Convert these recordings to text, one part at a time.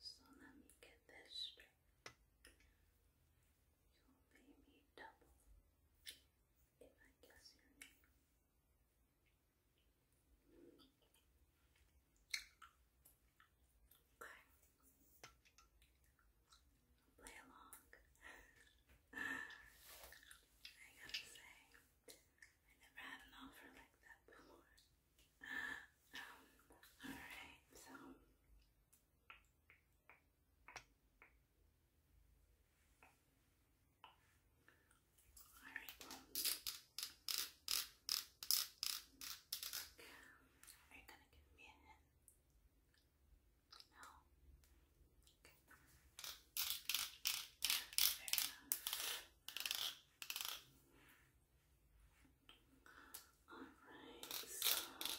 So let me get this straight. You'll pay me double if I guess your name. Okay play along. I gotta say, I never had an offer like that before. Um, alright, so. Alright, well. are you gonna give me a hint? No. Okay. Alright, so is it Sharon?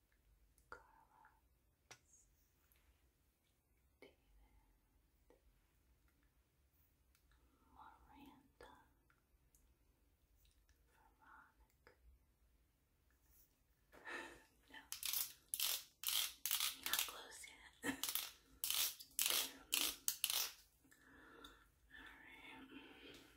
Carla, David, Miranda, Veronica. no, not close yet. All right.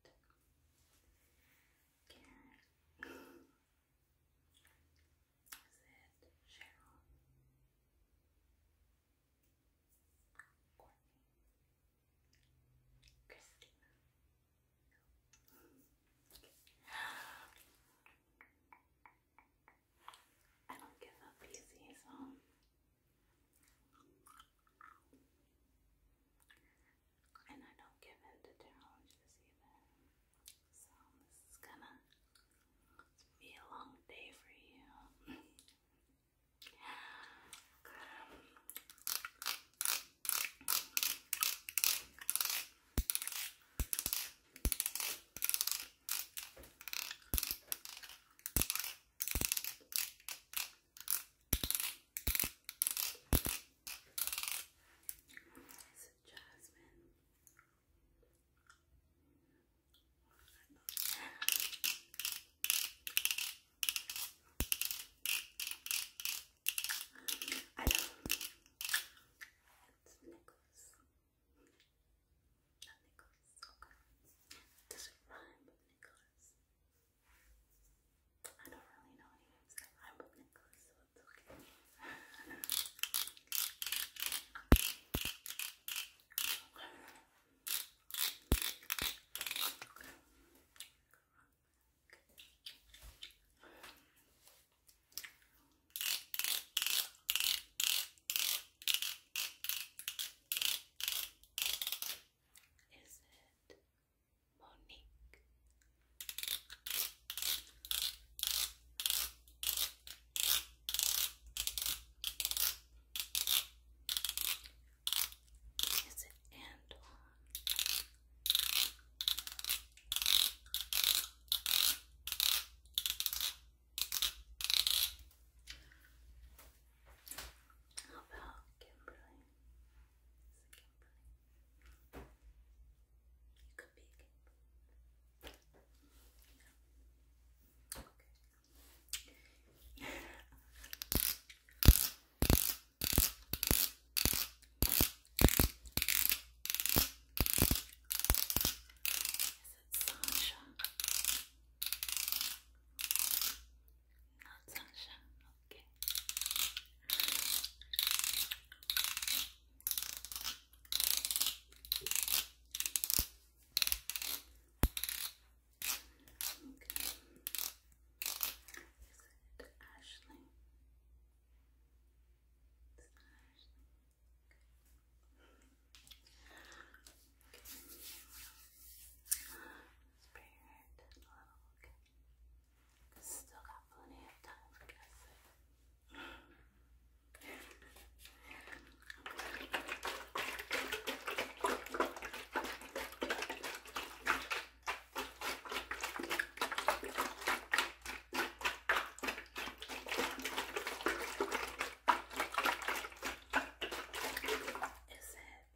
Sit. Karen. Sit. Cheryl. Courtney. Christina. I don't give up easy, so and I don't give in to challenges either. So this is gonna be a long day for you. Is it Jasmine? I know. It's Nicholas. Not Nicholas, Does it rhyme with Nicholas? I don't really know any names that rhyme with Nicholas, it's Okay. Is it Monique? Is it Anton? How about Kimberly? Is it Kimberly? You could be Kimberly. Yeah. Okay. Is Sasha. Not Sasha, okay. Okay. Is it Ashley. Spirit, a Still got plenty of time for guessing. Is that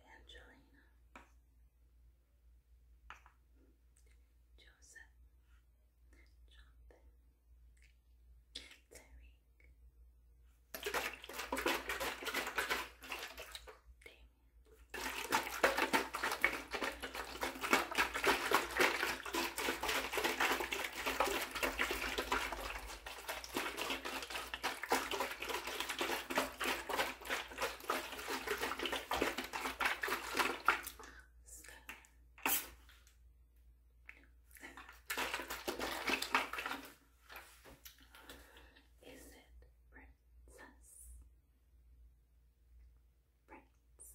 Angelina? Joseph, Jonathan, Tariq, Damien. Is it princess? Prince.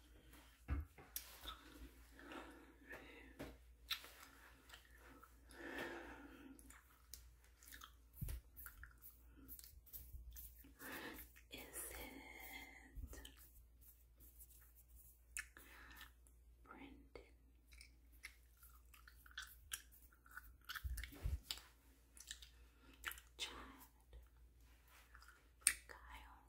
Is it Brendan? Chad, Kyle,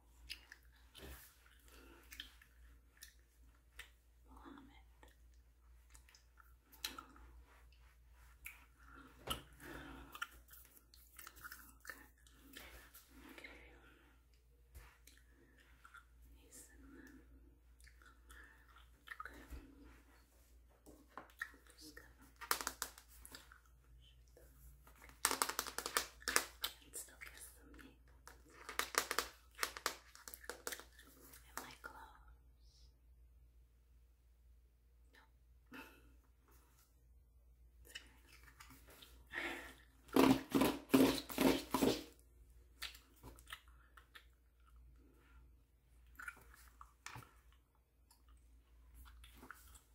Mohammed, okay. okay. Mason. Okay. I'm just gonna and still get some meat. And my clothes.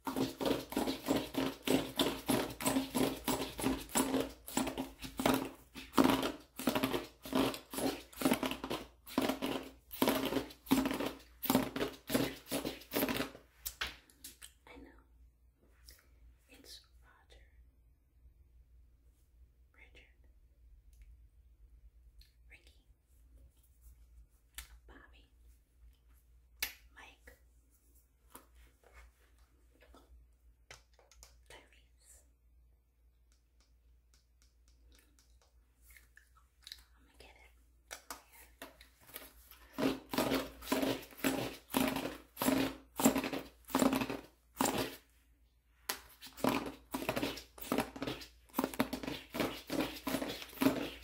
I know it's Roger, Richard, Ricky, Bobby, Mike, Tyrese. I'm get it. Yeah.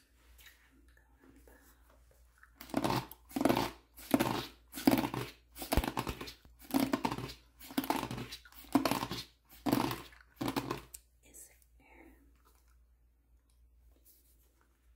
Is there second? Is it Elliot? Eli.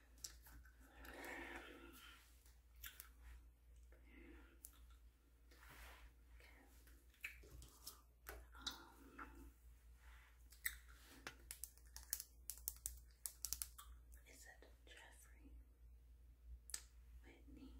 Is it Jeffrey Whitney? William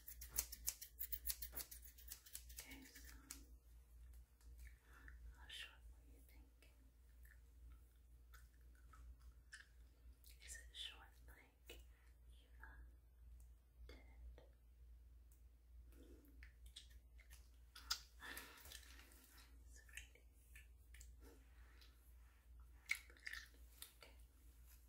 Okay, so how short were you thinking? Is it short like Eva did? Okay.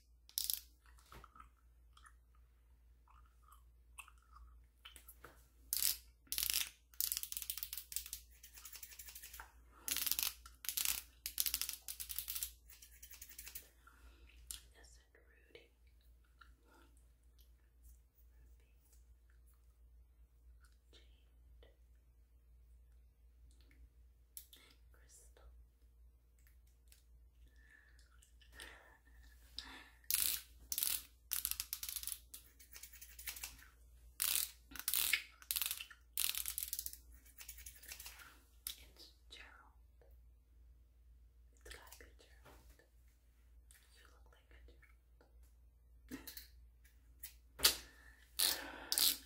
Rudy? Ruby. Jade. Jade. Crystal. It's Gerald. It's got Gerald. You look like Gerald.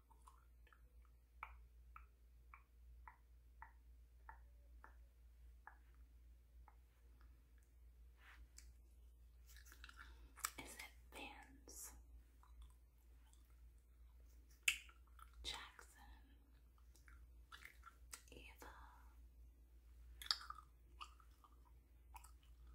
Is it Vance Jackson Eva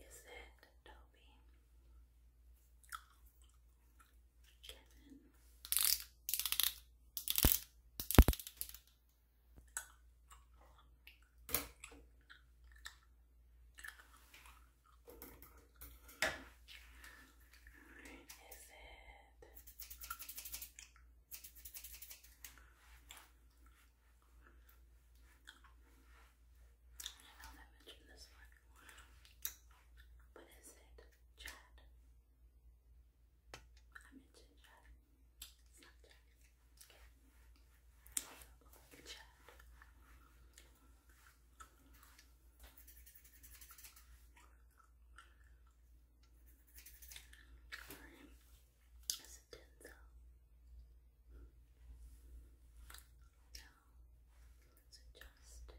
Is it Toby? Kevin? Is it? I know I mentioned this one. But it Chad? I mentioned Chad. It's not Chad. Okay. Chad. Alright, that's a dental. Taylor, Brittany, Mandy, Chloe,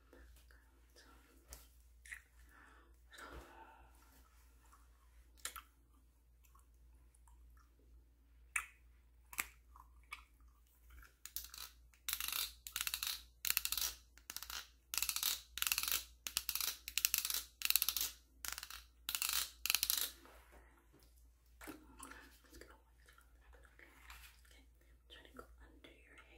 Okay, i trying to go under your hair.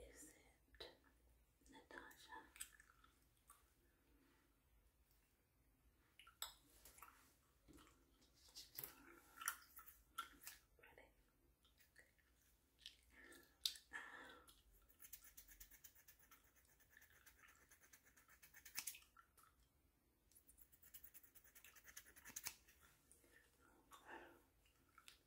Is it Natasha? Ready?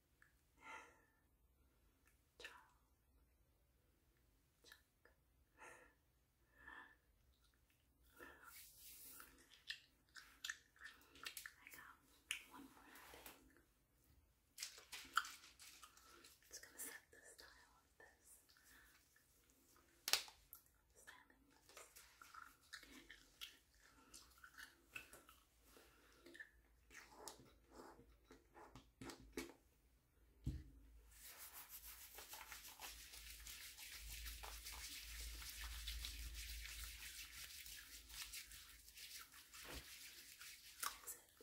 got one more thing. It's gonna set the style of this. Styling this it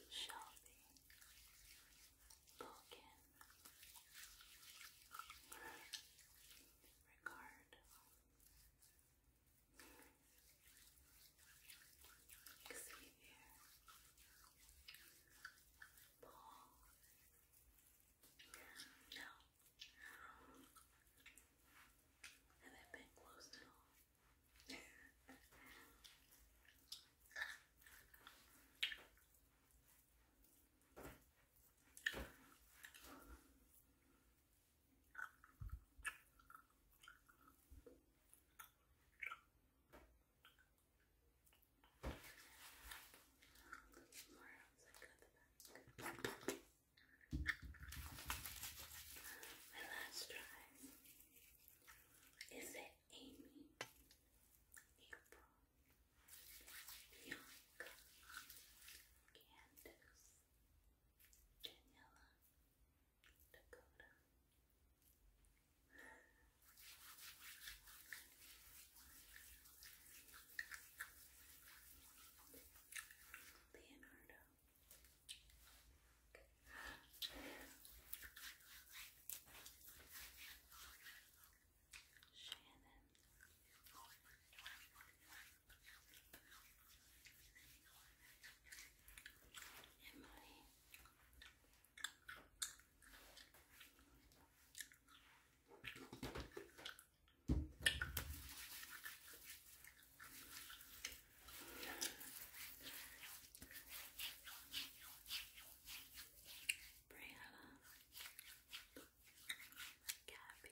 Shelby Vulcan Ricard Xavier, Paul, no, and that been closed at all. My last try is it Amy, April, Bianca, Candace, Daniela, Dakota. Leonardo. Shannon. Emily. Briella, Gabby,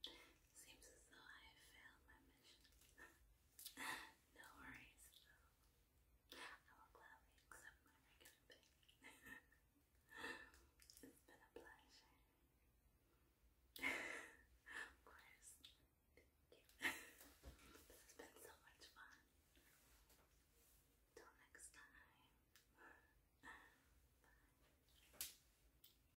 Seems as though I failed my mission. no worries, though. I will gladly accept my regular it's been a pleasure. of course. Thank you. this has been so much fun. Till next time. Bye.